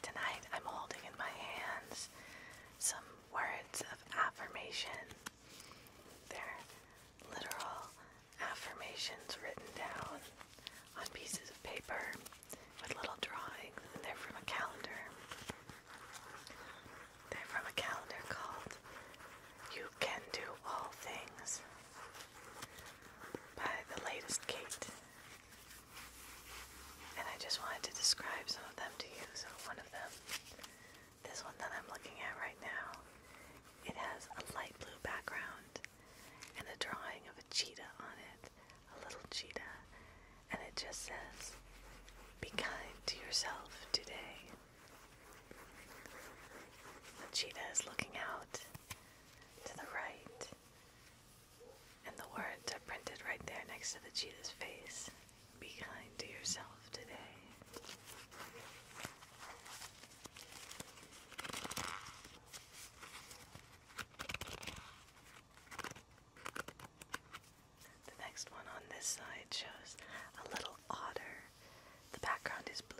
Tonight I'm holding in my hands some words of affirmation. They're literal affirmations written down on pieces of paper with little drawings, they're from a calendar. They're from a calendar called You Can Do All Things by the latest Kate. And I just wanted to describe some of them to you. So, one of them, this one that I'm looking at right now, it has a light blue background and a drawing of a cheetah on it, a little cheetah, and it just says, Be kind to yourself today. The cheetah is looking out to the right. And the words are printed right there next to the cheetah's face. Be kind to yourself today. The next one on this side shows a little otter. The background is blue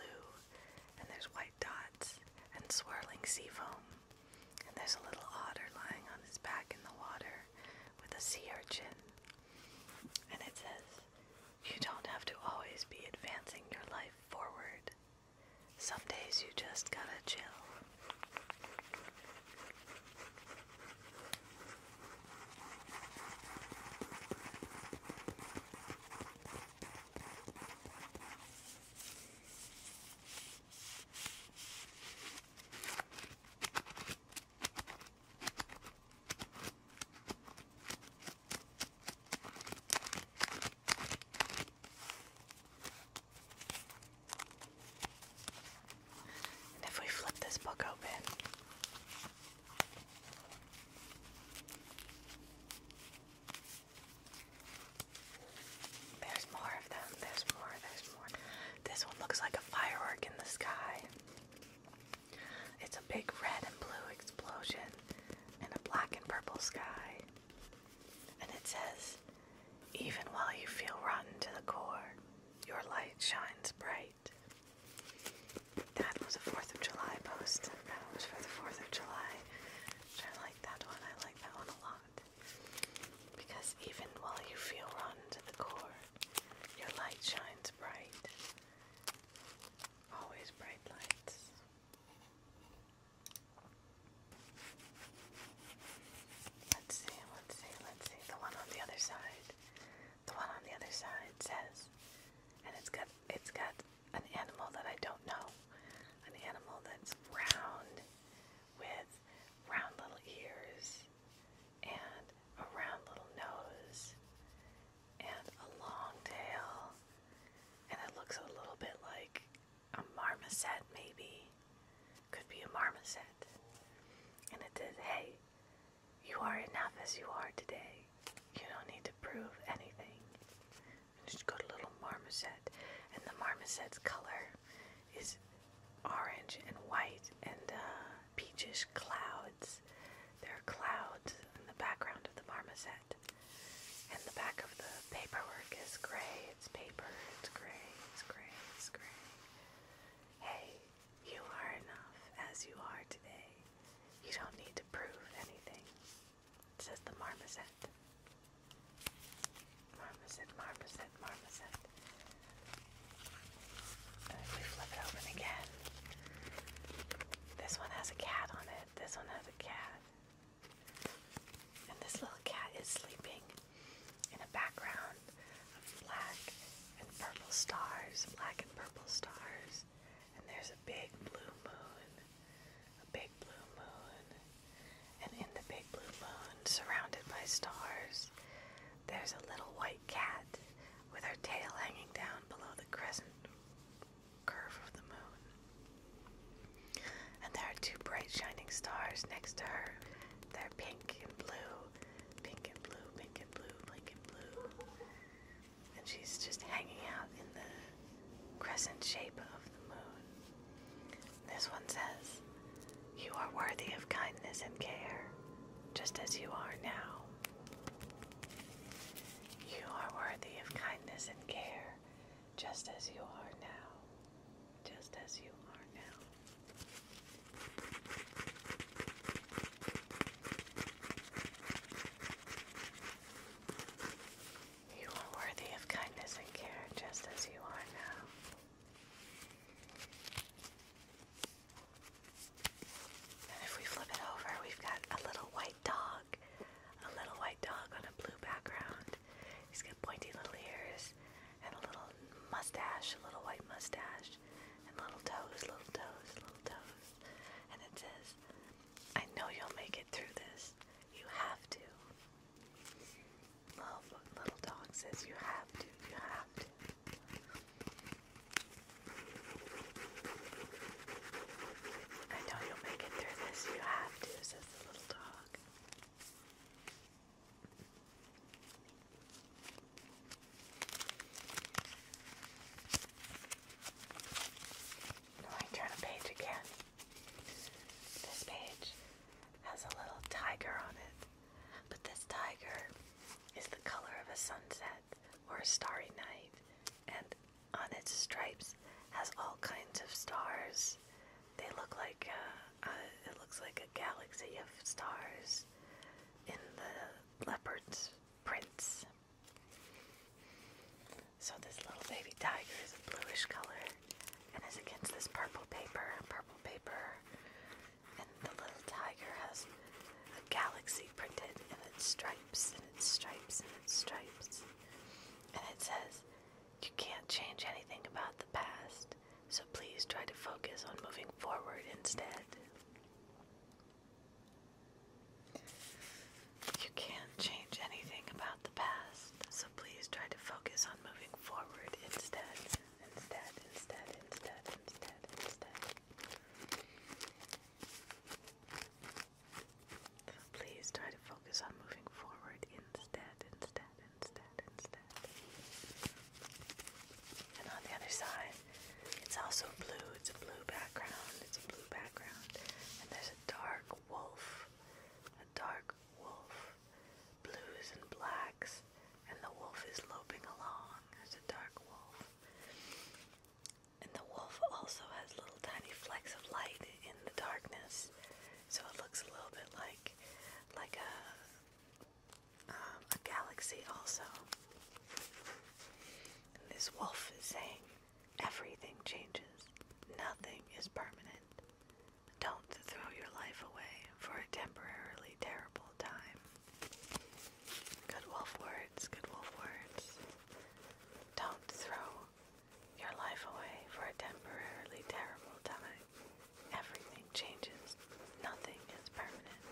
and there's white dots and swirling sea foam. And there's a little otter lying on his back in the water with a sea urchin. And it says, You don't have to always be advancing your life forward. Some days you just gotta chill if we flip this book open, there's more of them. There's more. There's more. This one looks like a firework in the sky. It's a big red and blue explosion in a black and purple sky. And it says, even while you feel rotten to the core, your light shines bright. That was a 4th of July post. That was for the 4th of July. Which I like that one. I like that one a lot. Because even while you feel run to the core, your light shines bright. Always bright lights. Let's see, let's see, let's see. The one on the other side. The one on the other side says, and it's got it's got an animal that I don't know. An animal that's round with round little ears and a round little nose and a long tail. And it looks a little bit like a marmoset, maybe. Could be a marmoset. And it says, hey, you are enough as you are today. You don't need to prove anything she got a little marmoset, and the marmoset's color is orange and white and uh, peachish clouds. There are clouds in the background of the marmoset, and the back of the paperwork is gray. It's paper. It's gray. It's gray. It's gray. Hey, you are enough as you are today. You don't need to prove anything says the marmoset. Marmoset, marmoset, marmoset. if we flip it open again, this one has a cat on it. This one has a cat. And this little cat is sleeping in a background of black and purple stars, black and purple stars and there's a big blue moon, a big blue moon, and in the big blue moon, surrounded by stars, there's a little white cat with her tail hanging down below the crescent curve of the moon. And there are two bright shining stars next to her. They're pink and blue, pink and blue, pink and blue, pink and blue and she's just hanging out in the crescent shape of the moon. This one says, You are worthy of kindness and care, just as you are now. You are worthy of kindness and care, just as you are now. Just as you are now. You are worthy of kindness and care just as you are now. And if we flip it over, we've got a little white dog. A little white dog on a blue background. He's got pointy little ears and a little mustache, a little white mustache, and little toes, little toes, little toes. And it says, I know you'll make it through this. You have to. Love little dog says you have to. You have to. I know you'll make it through this. You have to, says little dog. I turn a page again. This page has a little tiger on it, but this tiger is the color of a sunset or a starry night, and on its stripes has all kinds of stars. They look like a, uh, uh, it looks like a galaxy of stars in the leopard's prints so this little baby tiger is a bluish color and is against this purple paper, purple paper. And the little tiger has a galaxy printed in its stripes and its stripes and its stripes. And it says, You can't change anything about the past, so please try to focus on moving forward instead. You can't change anything about the past, so please try to focus on moving forward instead. Instead, instead, instead, instead, instead. So please try to focus on moving forward instead, instead, instead, instead. And on the other side, it's also blue. It's a blue background. It's a blue background. And there's a dark wolf a dark wolf, blues and blacks, and the wolf is loping along. There's a dark wolf. And the wolf also has little tiny flecks of light in the darkness, so it looks a little bit like like a um, a galaxy also. this wolf is saying, Everything changes. Nothing is permanent. Don't throw your life away for a temporarily terrible time. Good wolf words, good wolf words. Don't throw your life away for a temporarily terrible time. Everything changes. Nothing is permanent.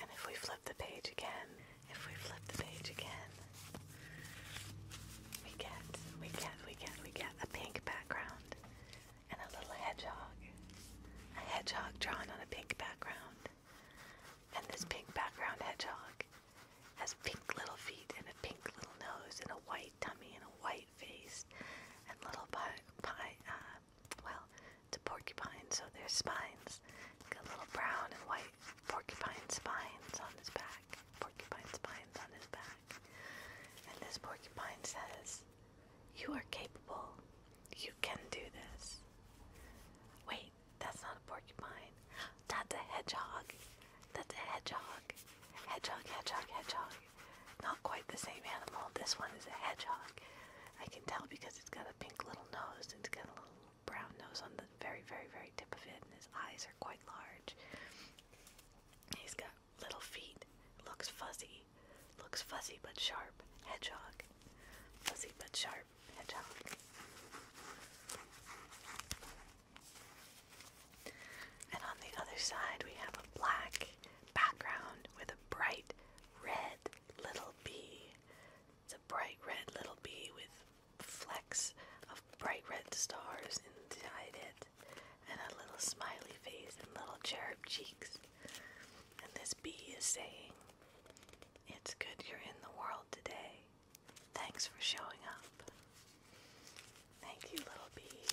And if we flip the page again, if we flip the page again, we get, we get, we get, we get a pink background and a little hedgehog. A hedgehog drawn on a pink background. And this pink background hedgehog has pink little feet and a pink little nose and a white tummy and a white face and little pie, pie, uh, well, it's a porcupine, so there's spines. Got little brown and white porcupine spines on his back. Porcupine spines on his back. And this porcupine says, You are capable. You can do this. Wait, that's not a porcupine. That's a hedgehog. That's a hedgehog. Hedgehog, hedgehog, hedgehog. Not quite the same animal. This one is a hedgehog. I can tell because it's got a pink little nose. It's got a little brown nose on the very, very, very tip of it, and his eyes are quite large. He's got little feet. Looks fuzzy. Looks fuzzy but sharp. Hedgehog. Fuzzy but sharp. Hedgehog. And on the other side, we have a black background with a bright red little bee bright red little bee with flecks of bright red stars inside it, and a little smiley face and little cherub cheeks. And this bee is saying, It's good you're in the world today. Thanks for showing up. Thank you, little bee.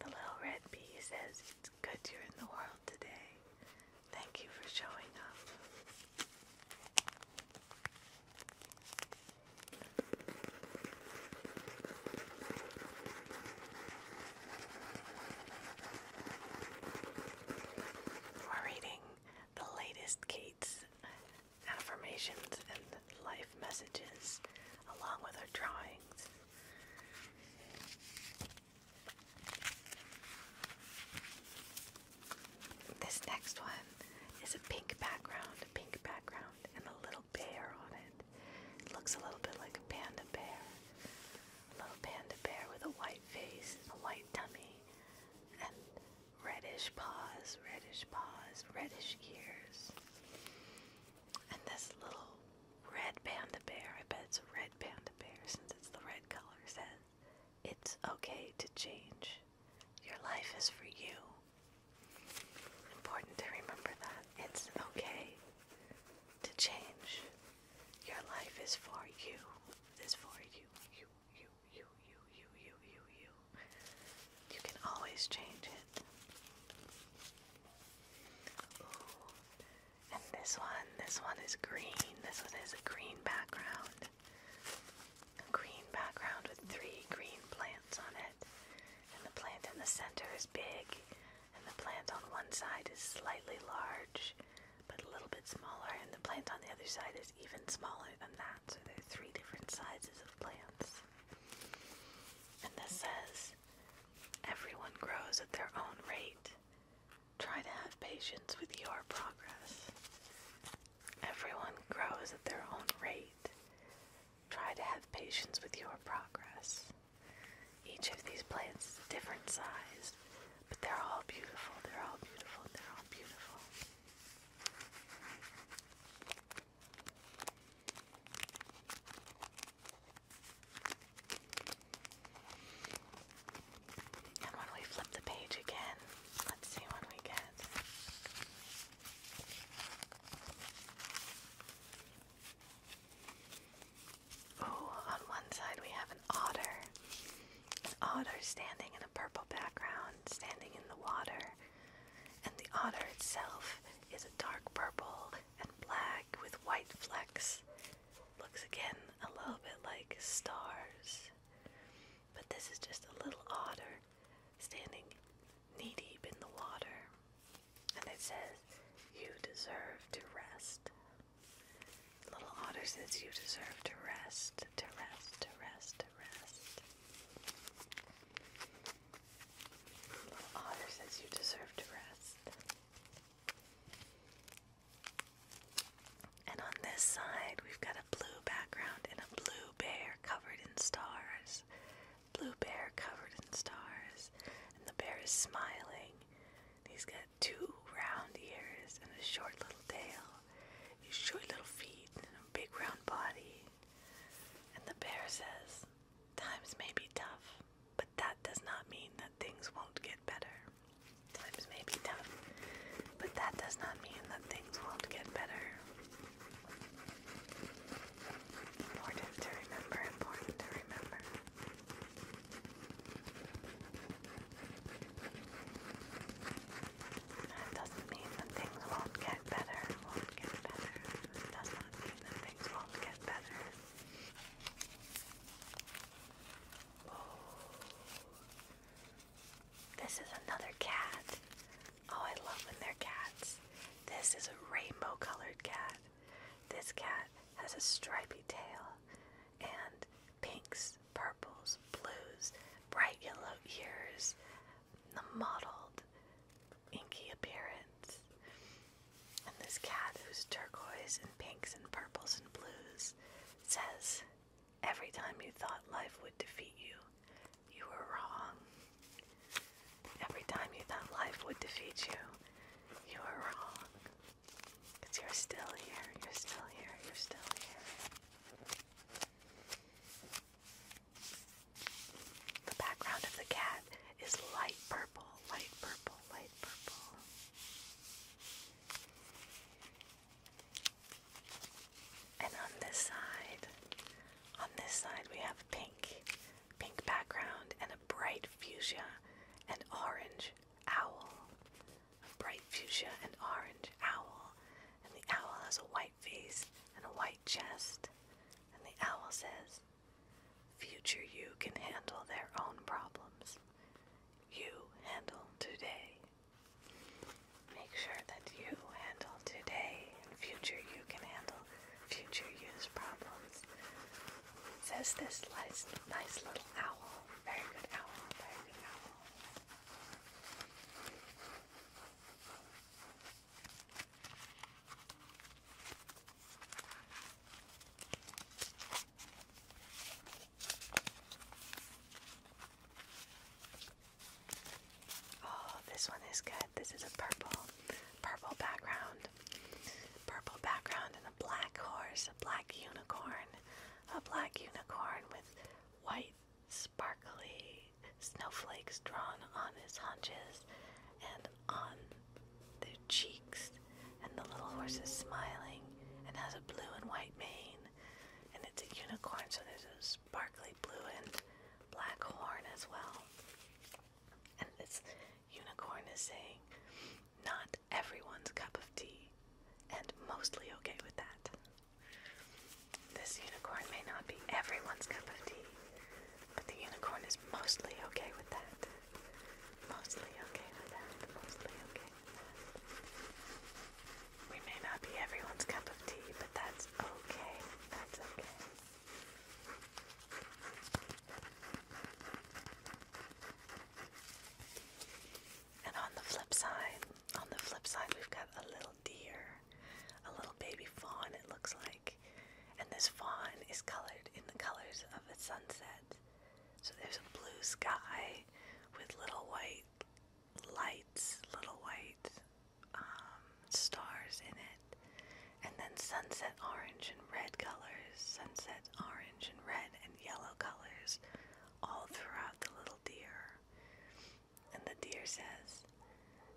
The little red bee says, It's good you're in the world today. Thank you for showing up. We're reading the latest Kate's affirmations and life messages along with her drawings. This next one is a pink background, a pink background, and a little bear on it. looks a little bit like a panda bear. A little panda bear with a white face and a white tummy and reddish paws, reddish paws, reddish ears. And this little red panda bear, I bet it's a red panda bear since it's the red color, says it's okay to change. Your life is for you. Important to remember that. It's okay to change. Your life is for you. Is for you. You, you, you, you, you, you, you, you. You can always change it. And this one, this one is green. This one is a green background. A green background with three green plants on it. And the plant in the center is big. And the plant on one side is slightly large, but a little bit smaller. And the plant on the other side is even smaller than that. So there are three different sizes of plants. And this says, everyone grows at their own rate. Try to have patience with your progress. Everyone grows at their own rate. Try to have patience with your progress. Each of these plants is a different size, but they're all beautiful, they're all beautiful, they're all beautiful. And when we flip the page again, let's see what we get. Oh, on one side we have an otter. An otter standing in a purple background, standing in the water. And the otter itself is a dark purple and black with white flecks. Looks again a little bit like stars. But this is just a little otter standing knee deep in the water. And it says, You deserve to rest. The little otter says, You deserve to rest, to rest, to rest, to rest. The little otter says, You deserve to rest. And on this side, we've got a blue background and a blue bear covered in stars. Blue bear covered in stars. And the bear is smiling. He's got two round ears and a short little tail. His short little feet and a big round body. And the bear says, Times may be tough, but that does not mean that things won't get better times may be tough, but that does not mean that things won't get better. Important to remember, important to remember. That doesn't mean that things won't get better, won't get better. does not mean that things won't get better. Oh. This is another cat. Oh, I love when they're cats. This is a rainbow colored cat. This cat has a stripy tail and pinks, purples, blues, bright yellow ears, the mottled, inky appearance. And this cat, who's turquoise and pinks and purples and blues, says, Every time you thought life would defeat you, you were wrong. Every time you thought life would defeat you, you were wrong. Because you're still here, you're still here, you're still here. The background of the cat is light purple, light purple, light purple. And on this side, on this side we have pink, pink background and a bright fuchsia and orange owl. A bright fuchsia and orange owl. And the owl has a white face and a white chest. And the owl says, Future you can handle their own problems. You handle today. Make sure that you handle today and future you can handle future use problems. says this nice, nice little owl. Very good owl, very good owl. Oh, this one is good. This is a purple, purple background. Purple background and a black horse, a black unicorn, a black unicorn with white sparkly snowflakes drawn on his haunches and on their cheeks. And the little horse is smiling and has a blue and white mane green, and it's a unicorn, so there's a sparkly blue and black horn as well. And this unicorn is saying, Not everyone's cup of tea, and mostly okay with that. This unicorn may not be everyone's cup of tea, but the unicorn is mostly okay with that. Mostly okay with that. Mostly okay with that. We may not be everyone's cup of tea, but that's okay. That's okay. And on the flip side, on the flip side, we've got a little deer, a little baby fawn, it looks like. And this fawn is colored in the colors of a sunset. So there's a blue sky with little white lights, little white um, stars in it, and then sunset orange and red colors, sunset orange and red and yellow colors all throughout the little deer. And the deer says,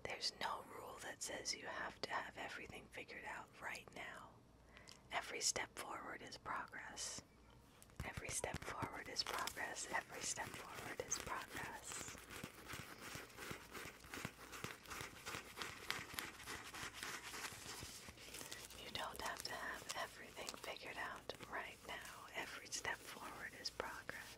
There's no rule that says you have to have everything figured out right now. Every step forward is progress. Every step forward is progress. Every step forward is progress. You don't have to have everything figured out right now. Every step forward is progress.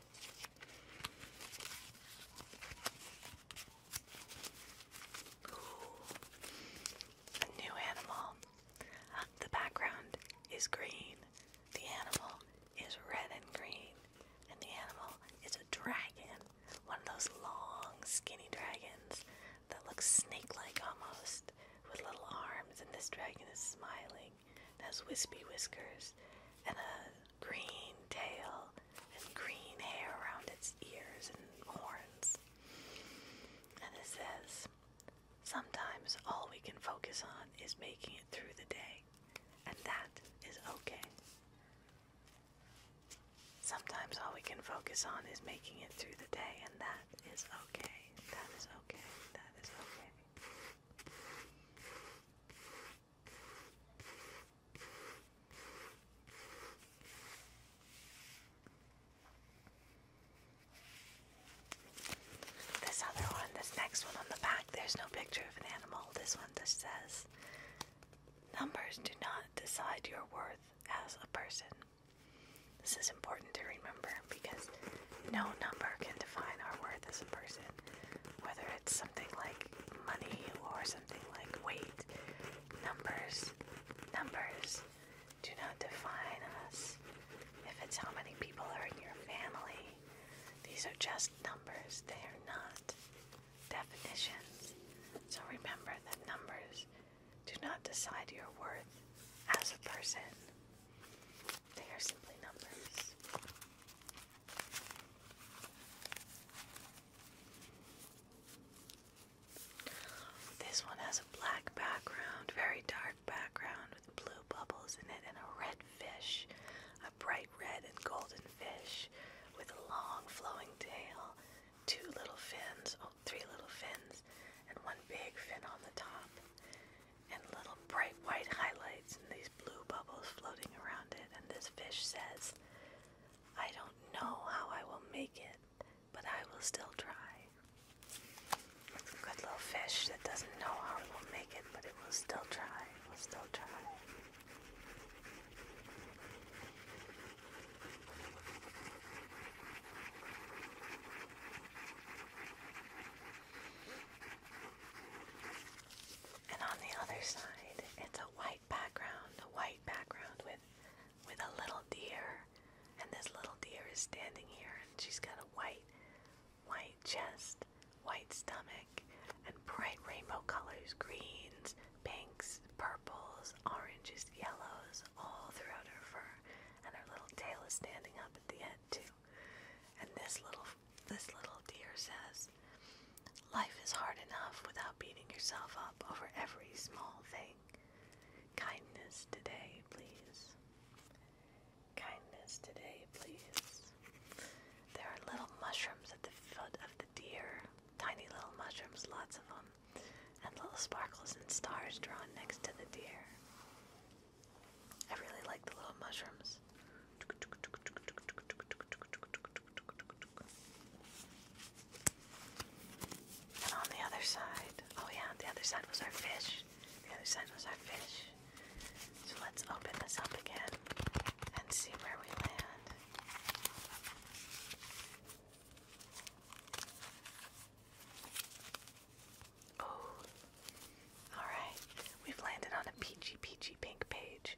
Ooh, a new animal. The background is green. The animal is red and green, and the animal is a dragon. One of those long, skinny dragons that looks snake like almost, with little arms. And this dragon is smiling, has wispy whiskers, and a green tail, and green hair around its ears and horns. And it says, Sometimes all we can focus on is making it through the day, and that is okay. Sometimes all we can focus on is making it through the day, and that is okay. That is okay. That is okay. This other one, this next one on the back, there's no picture of an animal. This one just says, Numbers do not decide your worth as a person. This is important to remember because no number can define our worth as a person. Whether it's something like money or something like weight, numbers, numbers do not define us if it's how many people are in your family, these are just numbers. They are not definitions. So remember that numbers do not decide your worth as a person. They are simply numbers. This one has a black background, very dark background with blue bubbles in it and a red fish, a bright red and golden fish with a long flowing tail, two little fins, oh, three little fins, and one big fin on the top, and little bright white highlights and these blue bubbles floating around it. And this fish says, I don't know how I will make it, but I will still try. It's a good little fish that doesn't know how it will make it, but it will still try. It will still try. And on the other side, it's a white background, a white background with with a little deer. And this little deer is standing here and she's got a white white chest, white stomach, and bright rainbow colors greens, pinks, purples, oranges, yellows all throughout her fur, and her little tail is standing up at the end too. And this little this little deer says, Life is hard enough without beating yourself up over every small thing. Kindness today, please kindness today, please. There are little mushrooms at the foot of the deer. Tiny little mushrooms, lots of them. And little sparkles and stars drawn next to the deer. I really like the little mushrooms. And on the other side, oh yeah, the other side was our fish. The other side was our fish. So let's open this up again and see where we land. Oh, alright. We've landed on a peachy, peachy pink page.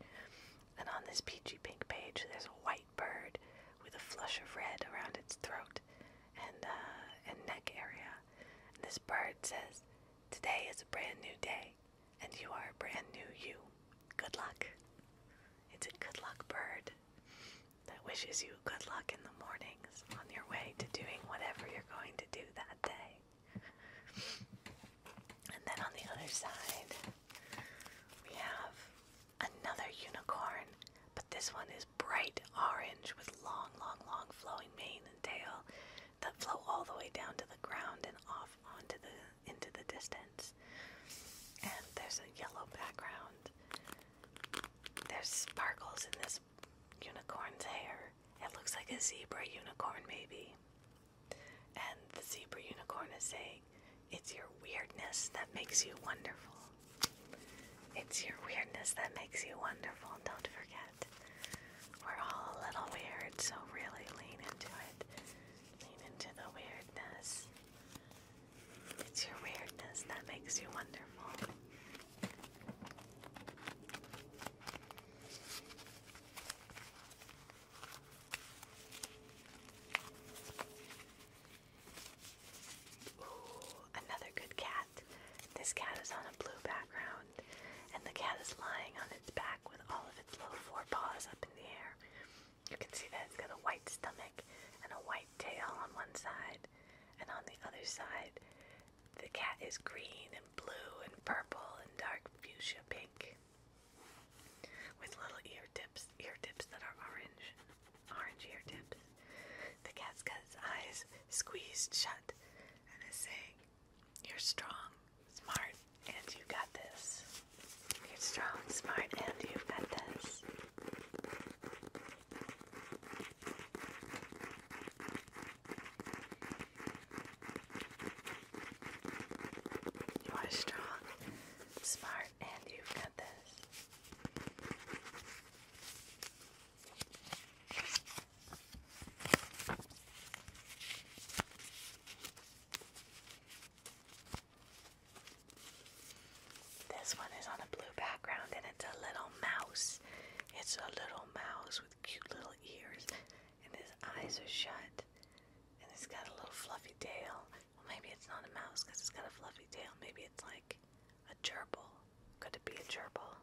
And on this peachy pink page, there's a white bird with a flush of red around its throat and, uh, and neck area. this bird says, Today is a brand new day, and you are a brand new you. Good luck. It's a good luck bird that wishes you good luck in the mornings on your way to doing whatever you're going to do that day. And then on the other side, we have another unicorn, but this one is bright orange with long, long, long flowing mane tail that flow all the way down to the ground and off onto the into the distance. And there's a yellow background. There's sparkles in this unicorn's hair. It looks like a zebra unicorn maybe. And the zebra unicorn is saying, It's your weirdness that makes you wonderful. It's your weirdness that makes you wonderful, don't forget. We're all a little weird, so really lean into it. Lean into the weirdness. It's your weirdness that makes you wonderful. Ooh, another good cat. This cat is on a blue background and the cat is lying on its back with all of its little paws up in the air. You can see that it's got a white stomach and a white tail on one side, and on the other side, the cat is green and blue and purple and dark fuchsia pink with little ear tips, ear tips that are orange, orange ear tips. The cat's got its eyes squeezed shut and is saying, you're strong, smart, and you got this. You're strong, smart, and you've got this. You are strong, smart, and you've got this. This one is on a blue background and it's a little mouse. It's a little mouse with cute little ears and his eyes are shut and it's got a little fluffy tail. Well, maybe it's not a mouse because it's got a fluffy tail. Maybe it's like a gerbil. Could it be a gerbil?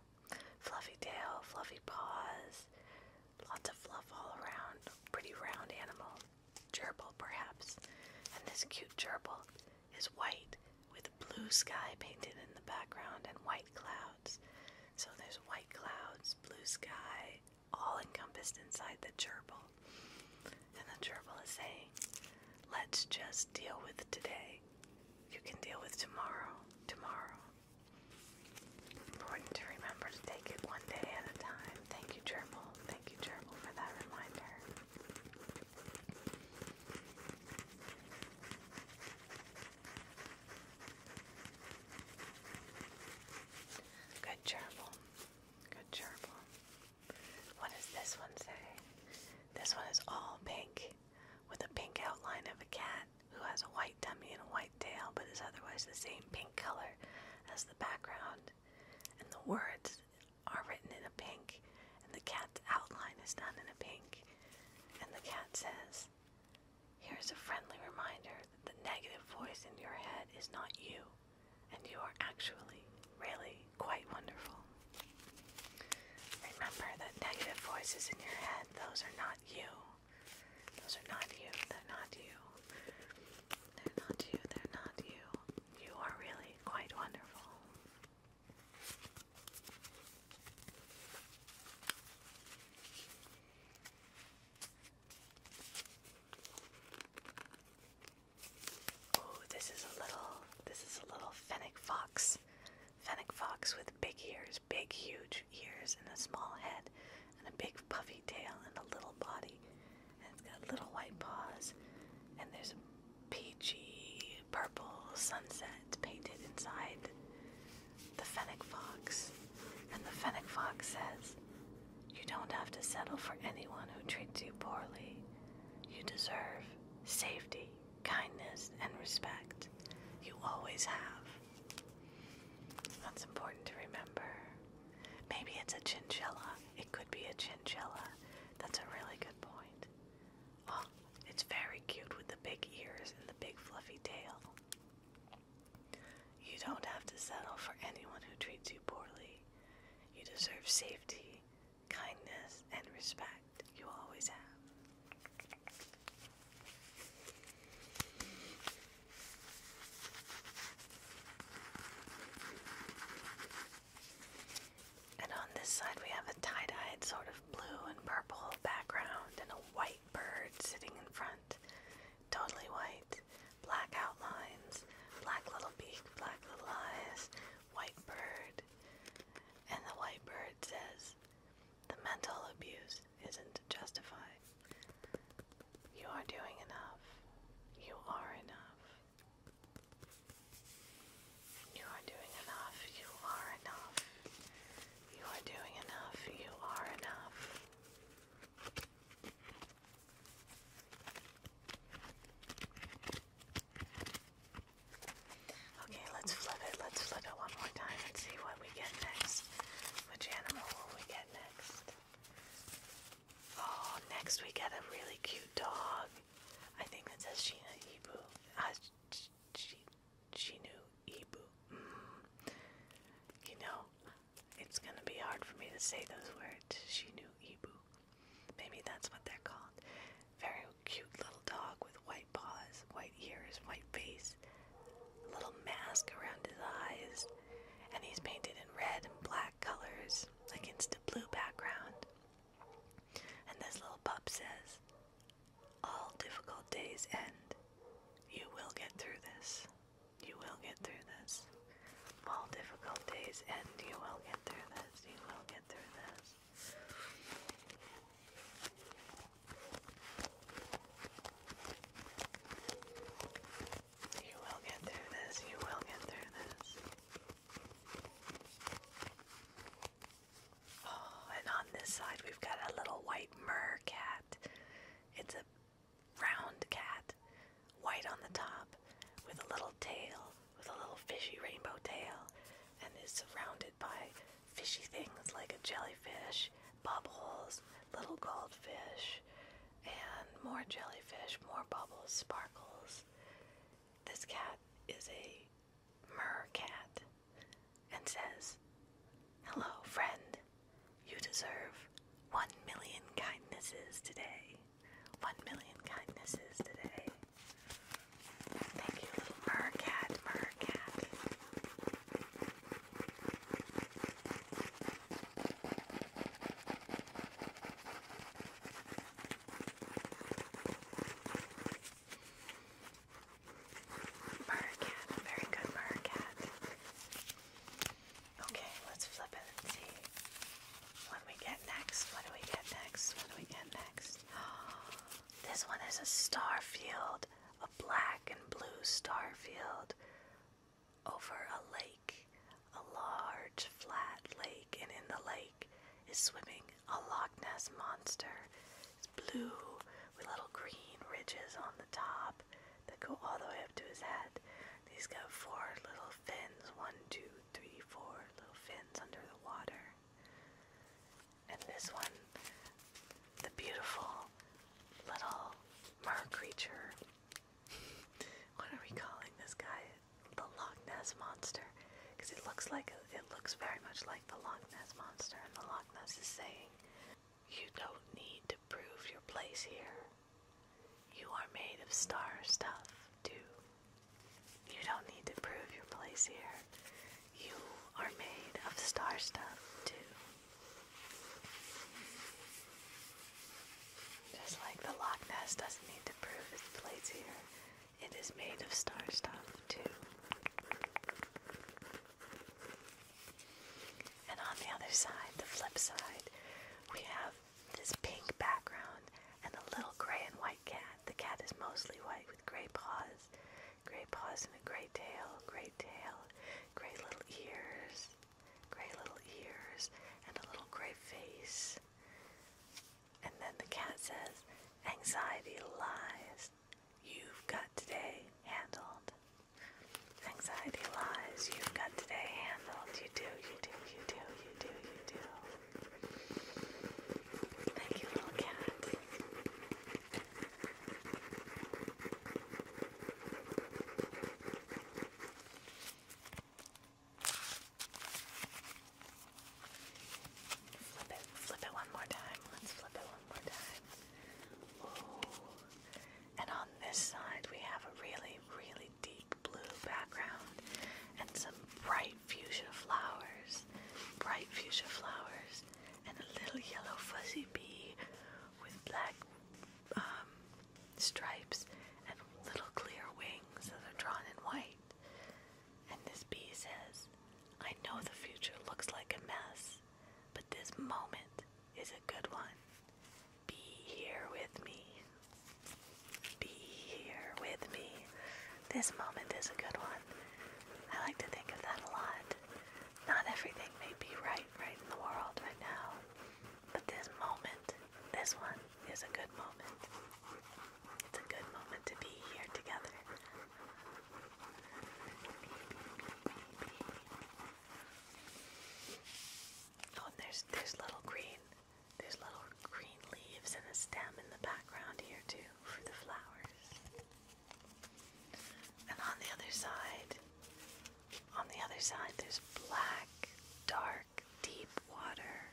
Fluffy tail, fluffy paws, lots of fluff all around. Pretty round animal. Gerbil, perhaps. And this cute gerbil is white with blue sky painted in the background and white clouds. So there's white clouds, blue sky, all encompassed inside the gerbil. And the gerbil is saying, Let's just deal with today. You can deal with tomorrow, tomorrow, Important to remember to take it one day at a time. Thank you, Gerbil. Thank you, Gerbil, for that reminder. Good gerbil. Good gerbil. What does this one say? This one is all pink with a pink outline of a cat who has a white tummy and a white tail but is otherwise the same pink color as the background. And the words are written in a pink, and the cat's outline is done in a pink. And the cat says, Here's a friendly reminder that the negative voice in your head is not you, and you are actually, really quite wonderful. Remember that negative voices in your head, those are not you. Those are not you. They're not you. They're not you. They're not you. You are really quite wonderful. Oh, this is a little this is a little fennec fox. Fennec fox with big ears big, huge ears and a small head, and a big, puffy tail and a little body. And it's got little white paws, and there's a peachy purple sunset painted inside the fennec fox. And the fennec fox says, You don't have to settle for anyone who treats you poorly. You deserve safety, kindness, and respect. You always have. That's important to remember. Maybe it's a chinchilla. It could be a chinchilla. That's a really good point. Oh, it's very cute with the big ears and the big fluffy tail. You don't have to settle for anyone who treats you poorly. You deserve safety, kindness, and respect. You always have. And on this side, we have a tie dyed sort of blue and purple background and a white bird sitting in front. Totally white, black outlines, black little beak, black little eyes, white bird. And the white bird says, the mental abuse isn't justified. You are doing enough. You are enough. You are doing enough. You are enough. You are doing enough. You are enough. Okay, let's flip it. Let's flip it one more time and see what we get next? Which animal will we get next? Oh, next we get a really cute dog. I think that says Sheena Ibu. Uh, ah, she, Shinu Ibu. Mm. You know, it's gonna be hard for me to say those words. Shinu Ibu. Maybe that's what they're called. Very cute little dog with white paws, white white ears, white face, little mask around his eyes, and he's painted in red and black colors against a blue background. And this little pup says, All difficult days end. You will get through this. You will get through this. All difficult days end. You will get through this. You will get through this. You will get through this. You will get through this. Oh, and on this side we've got a little white mer cat. It's a round cat, white on the top, with a little tail, with a little fishy rainbow tail, and is surrounded by fishy things like a jellyfish bubbles, little goldfish, and more jellyfish, more bubbles, sparkles. This cat is a mercat and says, Hello, friend. You deserve one million kindnesses today. One million kindnesses today. Thank you, little mercat, mercat. Burr cat, very good burr Okay, let's flip it and see what we get next. What do we get next? What do we get next? This one is a star field, a black and blue star field over a lake, a large flat lake, and in the lake is swimming a Loch Ness monster. It's blue with little green ridges on the top that go all the way up to his head. He's got four little fins one, two, three, four little fins under the water. And this one, the beautiful little mer creature. what are we calling this guy? The Loch Ness monster, because it looks like it looks very much like the Loch Ness monster, and the Loch Ness is saying, "You don't need to prove your place here. You are made of star stuff, too. You don't need to prove your place here. You are made of star stuff, too." Just like the Loch Ness doesn't need to prove its place here, it is made of star stuff too. And on the other side, the flip side, we have this pink background and a little gray and white cat. The cat is mostly white with gray paws, gray paws and a gray tail, gray gray tail, gray little ears, gray little ears, and a little gray face. And then the cat says, Anxiety lies. You've got today handled. Anxiety lies. You've got today handled. You do, you do, you do, you do, you do. Thank you, little cat. Flip it, flip it one more time. Let's flip it one more time. And on this side, we have a really, really deep blue background and some bright fuchsia flowers. Bright fuchsia flowers and a little yellow fuzzy bee with black um, stripes and little clear wings that are drawn in white. And this bee says, I know the future looks like a mess, but this moment is a good one. Be here with me. Be here with me. This moment is a good one. I like to think of that a lot. Not everything may be right right in the world right now, but this moment, this one, is a good moment. It's a good moment to be here together. Oh, and there's there's little green, there's little green leaves and a stem in the background here too for the flowers. And on the other side, on the other side, there's black, dark, deep water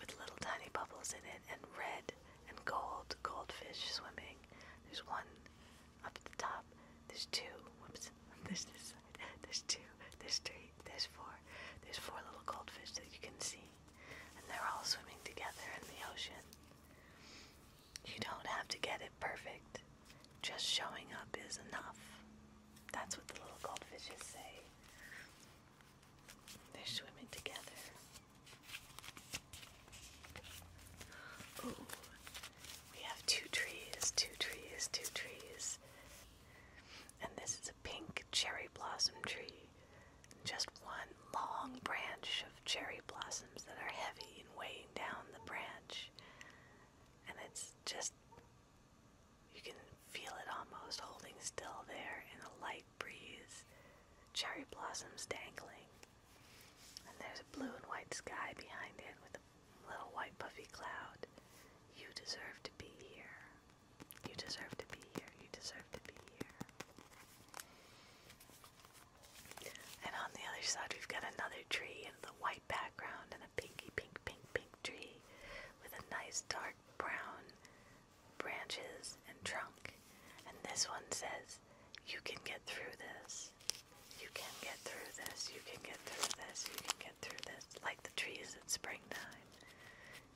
with little tiny bubbles in it, and red and gold goldfish swimming. There's one up at the top. There's two. Whoops. There's this side. There's two. There's three. There's four. There's four little goldfish that you can see, and they're all swimming together in the ocean. You don't have to get it perfect. Just showing up is enough. That's what the little goldfishes say. They're swimming together. Ooh, we have two trees, two trees, two trees. And this is a pink cherry blossom tree. Just one long branch of cherry blossoms that are heavy and weighing down the branch and it's just you can feel it almost holding still there in a light breeze. Cherry blossoms dangling. And there's a blue and white sky behind it with a little white puffy cloud. You deserve to be here. You deserve to be here. You deserve to be here. And on the other side, we've got another tree the white background and a pinky pink, pink, pink tree with a nice dark brown branches and trunk. And this one says, You can get through this. You can get through this. You can get through this. You can get through this. Like the trees in springtime.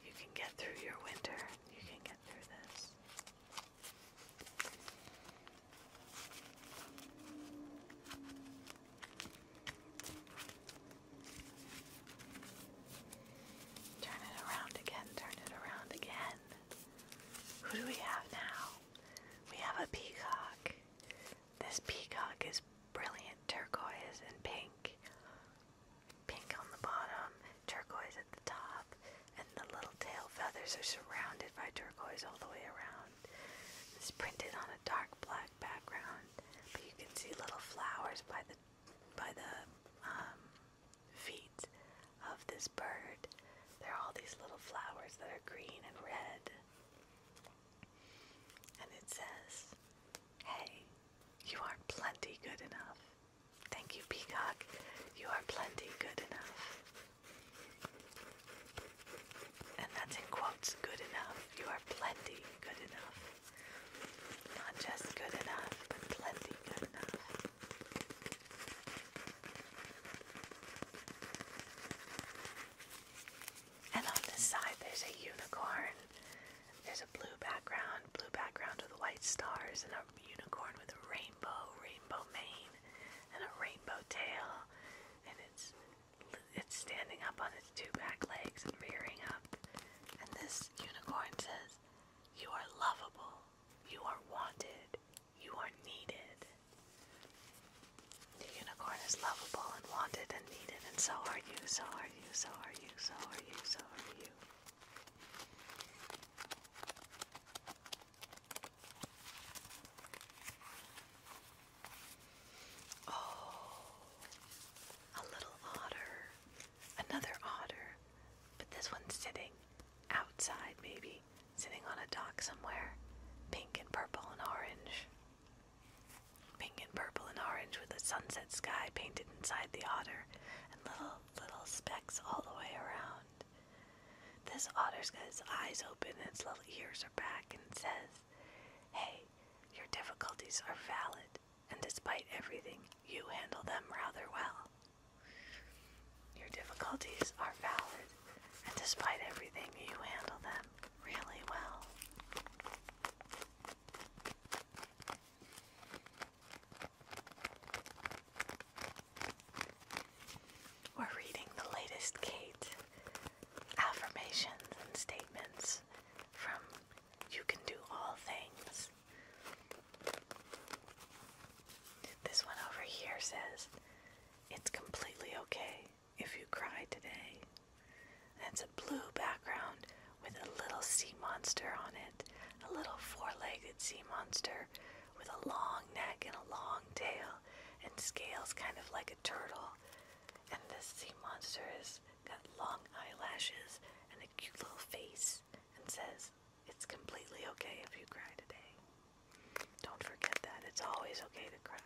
You can get through your winter. You can get through this. Turn it around again, turn it around again. Who do we have now? We have a peacock. This peacock is brilliant turquoise and pink. Pink on the bottom, turquoise at the top, and the little tail feathers are surrounded by turquoise all the way around. It's printed on a dark black background, but you can see little flowers by the by the um, feet of this bird. There are all these little flowers that are green and red. And it says, Hey, you are plenty good enough. Thank you, Peacock. You are plenty good enough and that's in quotes, good enough. You are plenty good enough. Not just good enough, but plenty good enough. And on this side, there's a unicorn. There's a blue background, blue background with white stars, and a unicorn with a rainbow, rainbow mane, and a rainbow tail. And it's it's standing up on its two back legs and rearing up. And this unicorn says, You are lovable. You are wanted. You are needed. The unicorn is lovable and wanted and needed, and so are you, so are you, so are you, so are you, so are you. Oh, a little otter. Another otter. But this one's sitting outside, maybe. Sitting on a dock somewhere. Pink and purple and orange. Pink and purple and orange with a sunset sky painted inside the otter and little, little specks all the way around. This otter's got its eyes open and its little ears are back and says, Hey, your difficulties are valid, and despite everything, you handle them rather well. Your difficulties are valid, and despite everything, you handle them really well. We're reading the latest Kate affirmations and statements from You Can Do All Things. This one over here says, It's completely okay if you cry today. That's a blue background with a little sea monster on it, a little four legged sea monster with a long neck and a long tail and scales, kind of like a turtle. And this sea monster has got long eyelashes and a cute little face and says, It's completely okay if you cry today. Don't forget that. It's always okay to cry.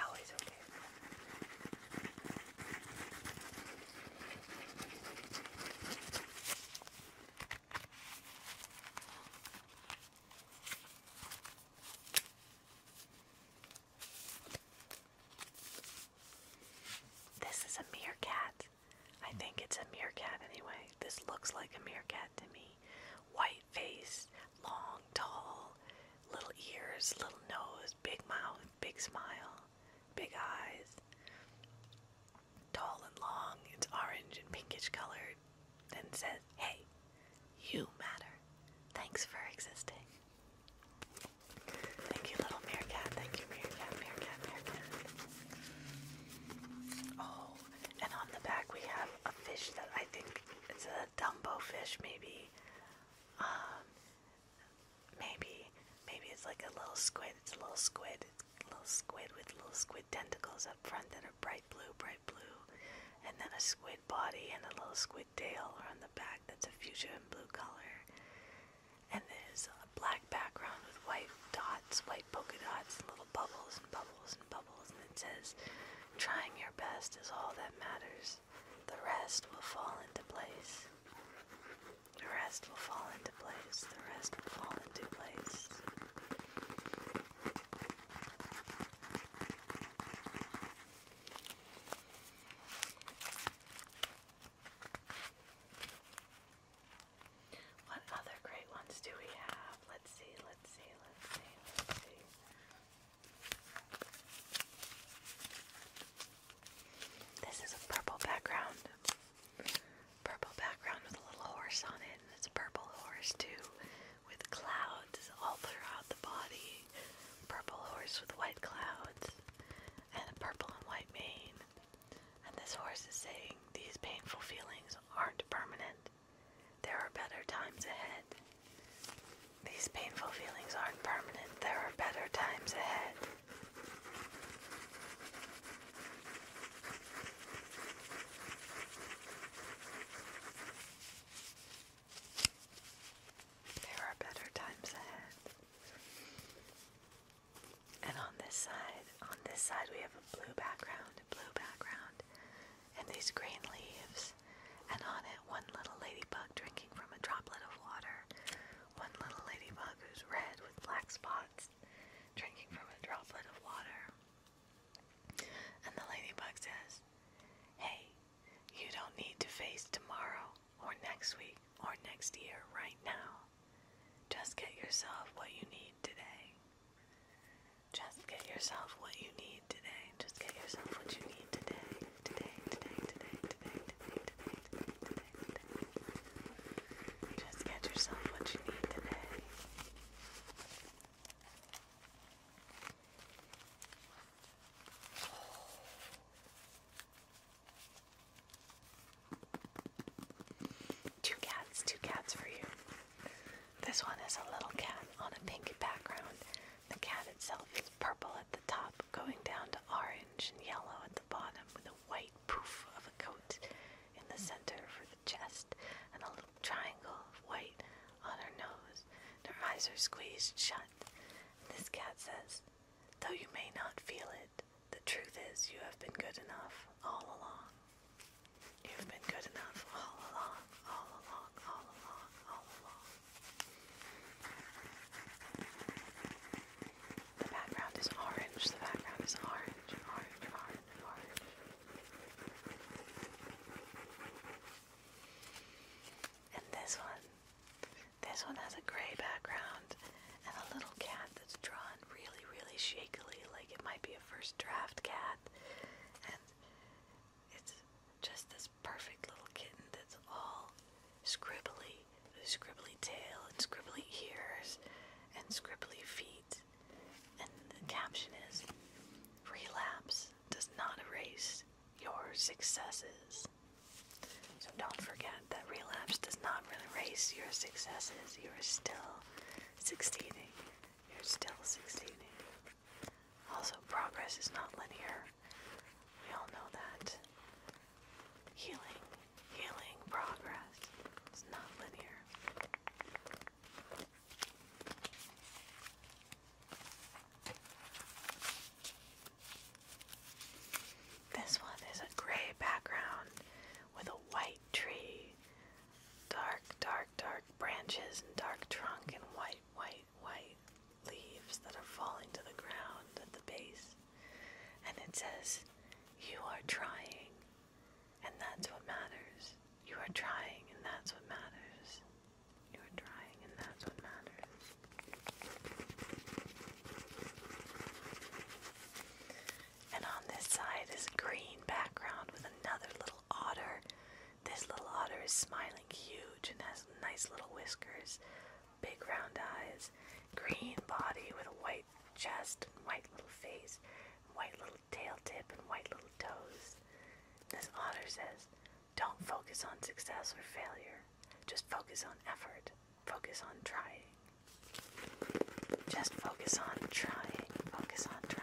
Always okay. This is a meerkat. I think it's a meerkat anyway. This looks like a meerkat to me. White face, long, tall, little ears, little nose, big mouth, big smile, big eyes. Tall and long, it's orange and pinkish colored. Then says, Hey, you matter. Thanks for existing. Thank you, little meerkat. Thank you, meerkat, meerkat, meerkat. Oh, and on the back we have a fish that I think it's a Dumbo fish, maybe. Um, maybe, maybe it's like a little squid. It's a little squid. It's a little squid with little squid tentacles up front that are bright blue, bright blue, and then a squid body and a little squid with on the back that's a fuchsia and blue color. And there's a black background with white dots, white polka dots, little bubbles and bubbles and bubbles. And it says, trying your best is all that matters. The rest will fall into place. The rest will fall into place. The rest will fall into place. What other great ones do we have? Let's see, let's see, let's see, let's see. This is a purple background. Purple background with a little horse on it, and it's a purple horse too with clouds all throughout the body. Purple horse with white clouds and a purple and white mane. And this horse is saying these painful feelings aren't permanent. There are better times ahead. These painful feelings aren't permanent. There are better times ahead. There are better times ahead. And on this side, on this side we have a blue background, blue background, and these green leaves. And on it, one little ladybug drinking from a droplet of water. One little ladybug who's red with black spots, drinking from a droplet of water. And the ladybug says, Hey, you don't need to face tomorrow or next week or next year right now. Just get yourself what you need today. Just get yourself what you need today. Just get yourself what you need today. Today, today, today, today, today, today, Just get yourself what you need today. Two cats, two cats for you. This one is a little cat on a pink background. The cat itself is purple at the top, going down to orange and yellow at the bottom, with a white poof of a coat in the center for the chest, and a little triangle of white on her nose. And her eyes are squeezed shut cat. And this cat says, Though you may not feel it, the truth is you have been good enough all along. You've been good enough all along, all along, all along, all along. The background is orange, the background is orange, orange, orange, orange. And this one this one has a gray background and a little cat that's drawn really, really shakily, like it might be a first draft cat. And it's just this perfect little kitten that's all scribbly, scribbly tail and scribbly ears and scribbly feet. And the caption is relapse does not erase your successes. So don't forget that relapse does not erase your successes. You are still succeeding. You're still succeeding. Also, progress is not linear. We all know that. Healing, healing, progress is not linear. This one is a gray background with a white tree. Dark, dark, dark branches and dark trunk and white, white, white leaves that are falling to the ground at the base. And it says, You are trying, and that's what matters. You are trying, and that's what matters. You're trying, and that's what matters. And on this side is green background with another little otter. This little otter is smiling huge and has nice little whiskers, big round eyes, green body with a white chest and white little face, and white little tail tip and white little toes. This otter says, don't focus on success or failure. Just focus on effort. Focus on trying. Just focus on trying. Focus on trying.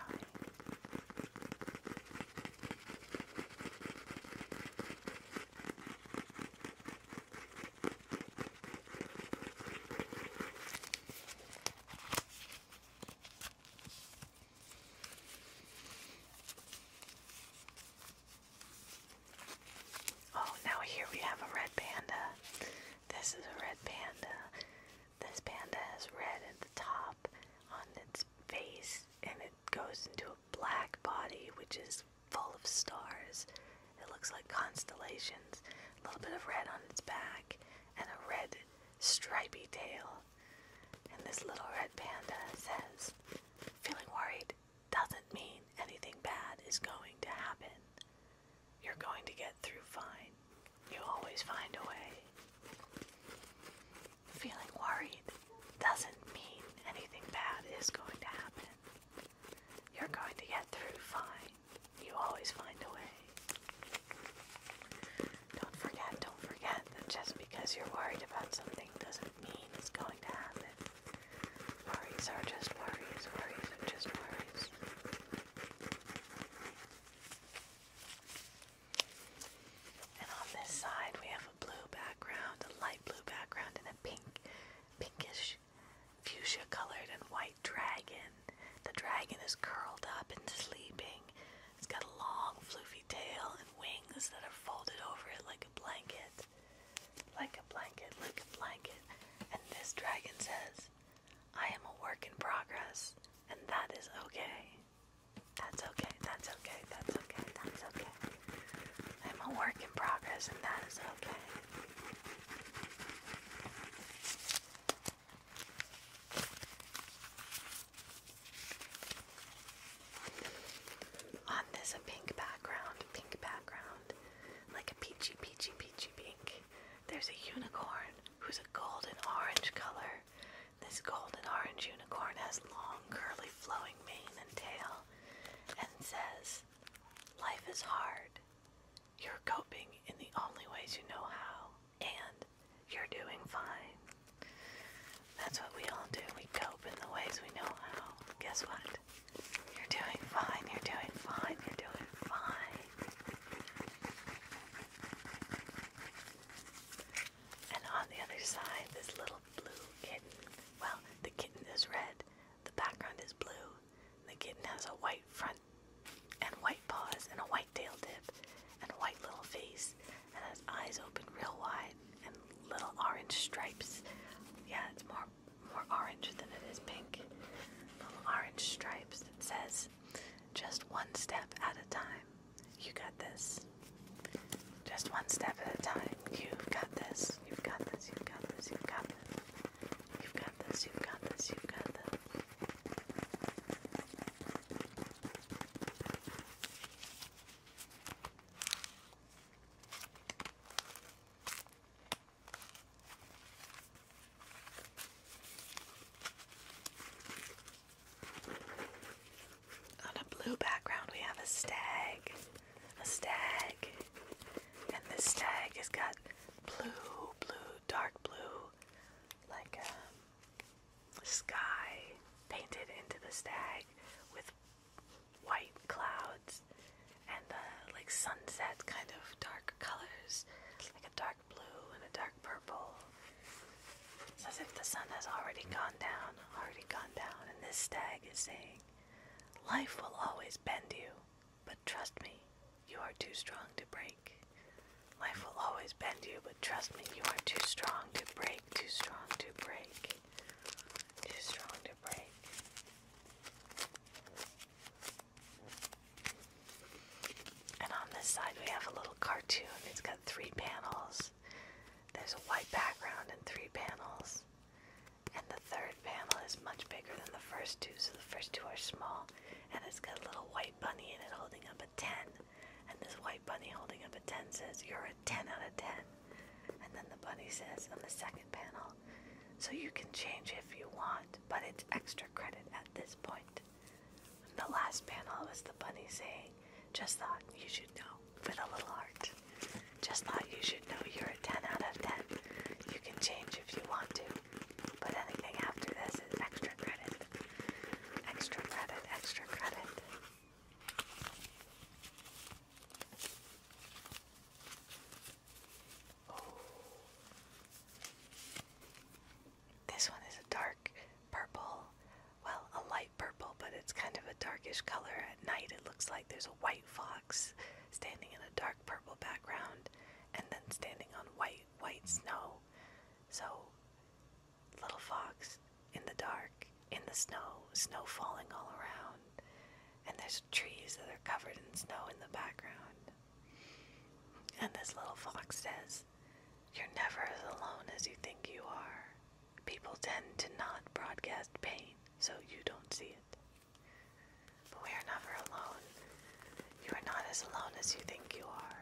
Oh, now here we have a red panda. This is a red panda. This panda has red at the top on its face, and it goes into a black body, which is full of stars. It looks like constellations, a little bit of red on its back, and a red stripey tail. And this little red panda says, Feeling worried? doesn't mean anything bad is going to happen. You're going to get through fine. You always find a way. Feeling worried doesn't mean anything bad is going to happen. You're going to get through fine. You always find a way. Don't forget, don't forget that just because you're worried about something doesn't mean is going to happen. Worries are just worries, worries are just worries. And on this side we have a blue background, a light blue background, and a pink, pinkish fuchsia colored and white dragon. The dragon is curled up and sleeping. It's got a long floofy tail and wings that are folded over it like a blanket. Like a blanket, like a blanket. And this dragon says, I am a work in progress, and that is okay. That's okay, that's okay, that's okay, that's okay. I'm a work in progress, and that is okay. On this, a pink background, pink background, like a peachy, peachy, peachy pink. There's a unicorn who's a golden orange color. This golden orange unicorn has long, curly, flowing mane and tail and says, Life is hard. You're coping in the only ways you know how, and you're doing fine. That's what we all do. We cope in the ways we know how. Guess what? You're doing fine. You're doing fine. You're doing fine. And on the other side, this little blue kitten. Well, the kitten is red, the background is blue, the kitten has a white front and white paws and a white tail tip and a white little face and has eyes open real wide line and little orange stripes. Yeah, it's more more orange than it is pink. Little orange stripes that says just one step at a time. You got this. Just one step at a time. You've got this. You've got this. You've got this. You've got this. You've got this. You've got this. You've got this. On a blue background, we have a stag, a stag, and this stag has got blue, blue, dark blue, like a um, sky painted into the stag with white clouds and the like sunset kind of dark colors, like a dark blue and a dark purple. It's as if the sun has already gone down, already gone down, and this stag is saying, Life will always bend you, but trust me, you are too strong to break. Life will always bend you, but trust me, you are too strong to break, too strong to break. Too strong to break. And on this side, we have a little cartoon. It's got three panels. There's a white background and three panels. And the third panel is much bigger than the first two, so the first two are small. And it's got a little white bunny in it holding up a 10. And this white bunny holding up a 10 says, You're 10 out of 10. And then the bunny says on the second panel, so you can change if you want, but it's extra credit at this point. And the last panel was the bunny saying, just thought you should know, with a little heart. Just thought you should know you're a 10 out of 10. You can change if you want to, but anything after this is extra credit. Extra credit, extra credit. Oh. This one is a dark purple, well, a light purple, but it's kind of a darkish color. At night, it looks like there's a white fox standing in a dark purple background and then standing on white, white snow. So, little fox in the dark in the snow, snow falling all around, and there's trees that are covered in snow in the background. And this little fox says, You're never as alone as you think you are. People tend to not broadcast pain, so you don't see it. But we are never alone. You are not as alone as you think you are.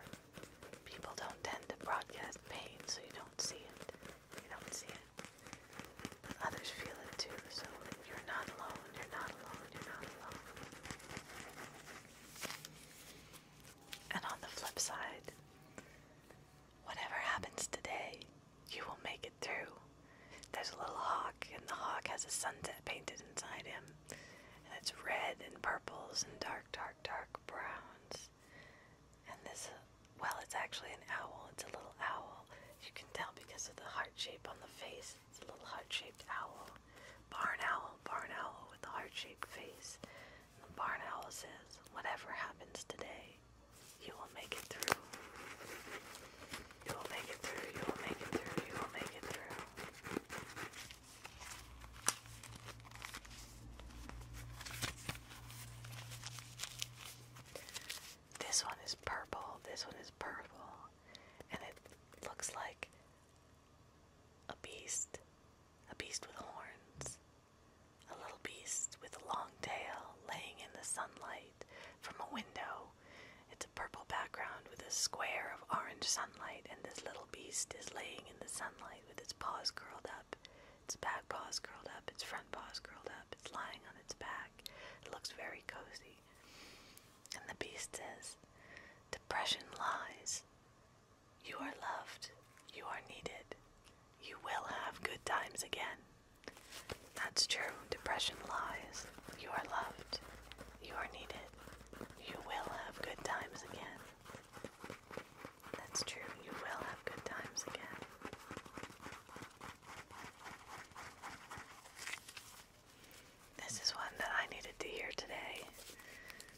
People don't tend to broadcast pain, so you don't see it. You don't see it. Others feel it too, so you're not alone, you're not alone, you're not alone. And on the flip side, whatever happens today, you will make it through. There's a little hawk, and the hawk has a sunset painted inside him. And it's red and purples and dark, dark, dark browns. And this well, it's actually an owl. It's a little owl. You can tell because of the heart shape on the face. It's a little heart-shaped owl. Barn owl, barn owl with a heart-shaped face. And the barn owl says, whatever happens today, you will make it through. You will make it through, you will make it through, you will make it through. This one is purple, this one is purple, and it looks like a beast. A beast with horns. A little beast with a long tail laying in the sunlight from a window. It's a purple background with a square of orange sunlight, and this little beast is laying in the sunlight with its paws curled up, its back paws curled up, its front paws curled up, it's lying on its back. It looks very cozy. And the beast says, Depression lies. You are loved. You are needed. You will have good times again. That's true. Depression lies. You are loved. You are needed. You will have good times again. That's true. You will have good times again. This is one that I needed to hear today.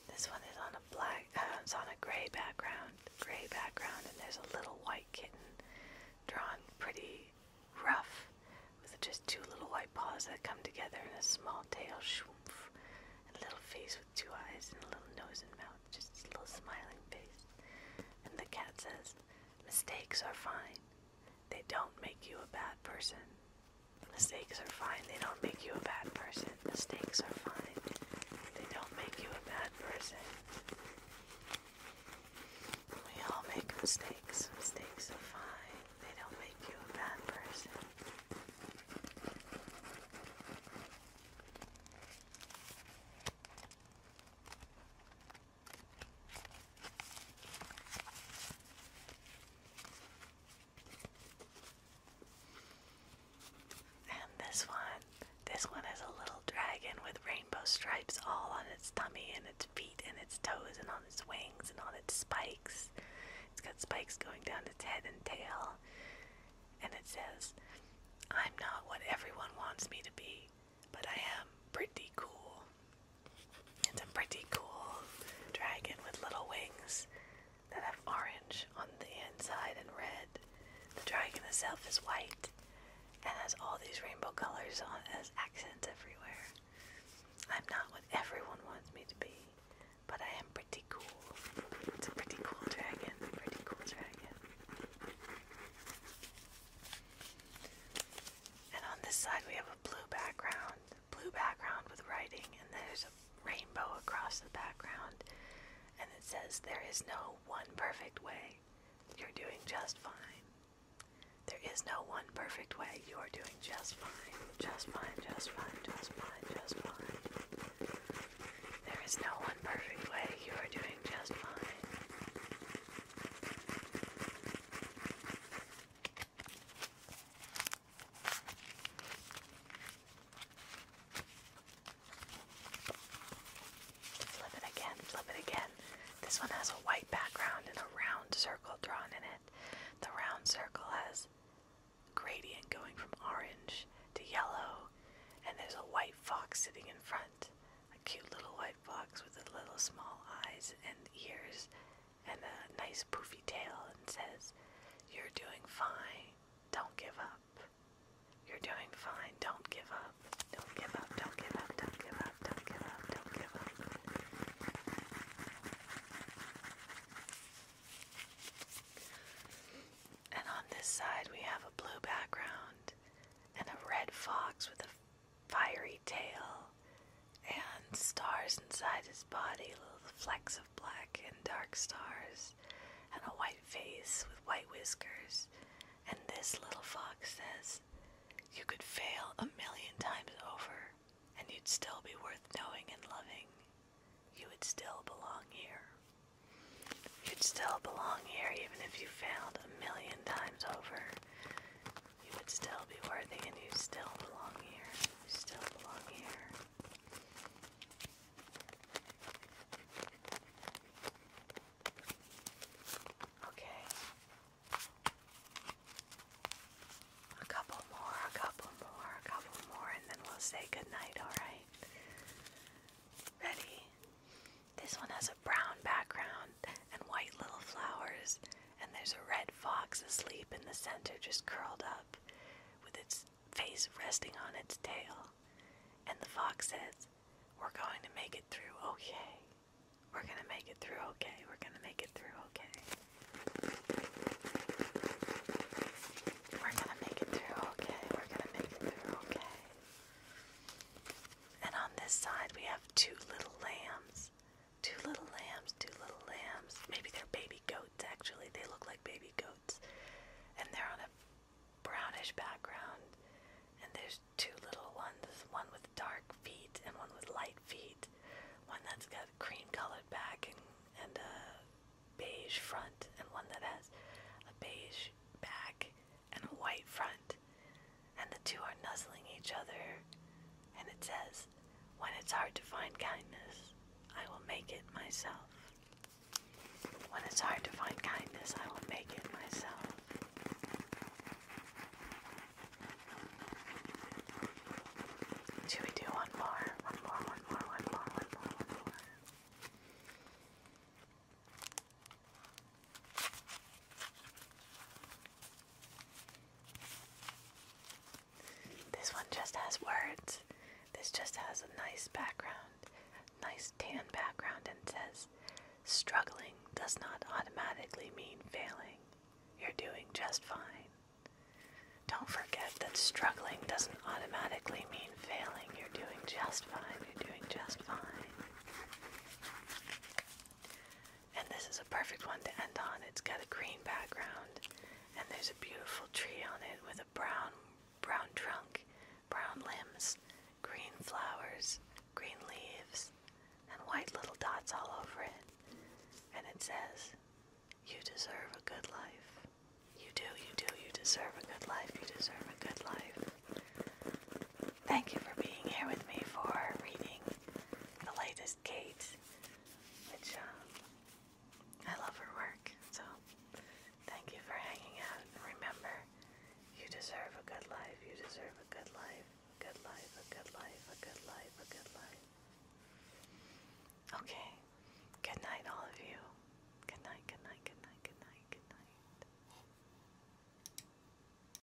This one is on a black, uh, it's on a gray background, gray background, and there's a little white kitten drawn pretty rough with just two little white paws that come together and a small tail, shoomph, and a little face with two eyes and a little nose and mouth, just a little smiling face. And the cat says, Mistakes are fine. They don't make you a bad person. Mistakes are fine. They don't make you a bad person. Mistakes are fine. They don't make you a bad person. We all make mistakes. Mistakes are fine. They don't make you a bad person. And this one, this one is a little dragon with rainbow stripes all on its tummy and its feet and its toes and on its wings and on its spikes. It's got spikes going down its head and tail. And it says, I'm not what everyone wants me to be. But I am pretty cool. It's a pretty cool dragon with little wings that have orange on the inside and red. The dragon itself is white and has all these rainbow colors on as accents everywhere. I'm not what everyone wants me to be, but I am pretty cool. It's a pretty cool dragon. Pretty cool dragon. And on this side we have a blue background, blue background with writing, and there's a rainbow across the background. And it says, There is no one perfect way. You're doing just fine. There is no one perfect way. You are doing just fine. Just fine, just fine, just fine, just fine. There is no one perfect way. You are doing just fine. Flip it again, flip it again. This one has a white background and a round circle drawn in it. The round circle has gradient going from orange to yellow, and there's a white fox sitting in front a cute little white fox with the little small eyes and ears and a nice poofy tail and says, You're doing fine, don't give up. You're doing fine, don't give up. Don't give up, don't give up, don't give up, don't give up, don't give up. And on this side, we have a blue background and a red fox with a fiery tail and stars inside his body, little flecks of black and dark stars, and a white face with white whiskers. And this little fox says, You could fail a million times over, and you'd still be worth knowing and loving. You would still belong here. You'd still belong here even if you failed a million times over you would still be worthy and you still belong here. still belong here. Okay. A couple more, a couple more, a couple more, and then we'll say goodnight, alright? Ready? This one has a brown background and white little flowers, and there's a red fox asleep in the center, just curled up with its face resting on its tail. And the fox says, We're going to make it through okay. We're going to make it through okay. We're going to make it through okay. We're going to make it through okay. We're going to make it through okay. And on this side, we have two little lambs. Two little lambs, two little lambs. Maybe they're baby goats, actually. They look like baby goats. And they're on a brownish background. And there's two little ones one with dark feet and one with light feet. One that's got a cream colored back and, and a beige front, and one that has a beige back and a white front, and the two are nuzzling each other. And it says, When it's hard to find kindness, I will make it myself. When it's hard to find kindness, I will make it myself. Should we do one more? One more, one more, one more, one more, one more. This one just has words. This just has a nice background, nice tan background, and says, Struggling does not automatically mean failing. You're doing just fine. Don't forget that struggling doesn't automatically mean failing. You're doing just fine. You're doing just fine. And this is a perfect one to end on. It's got a green background and there's a beautiful tree on it with a brown brown trunk, brown limbs, green flowers, green leaves, and white little dots all over it. And it says, You deserve a good life. You do, you do, you deserve a good life. You deserve a good life. Thank you for being here with me for reading the latest Kate, which um, I love her work. So thank you for hanging out. And remember, you deserve a good life. You deserve a good life. A good life. A good life. A good life. A good life. Okay. Good night, all of you. Good night. Good night. Good night. Good night. Good night.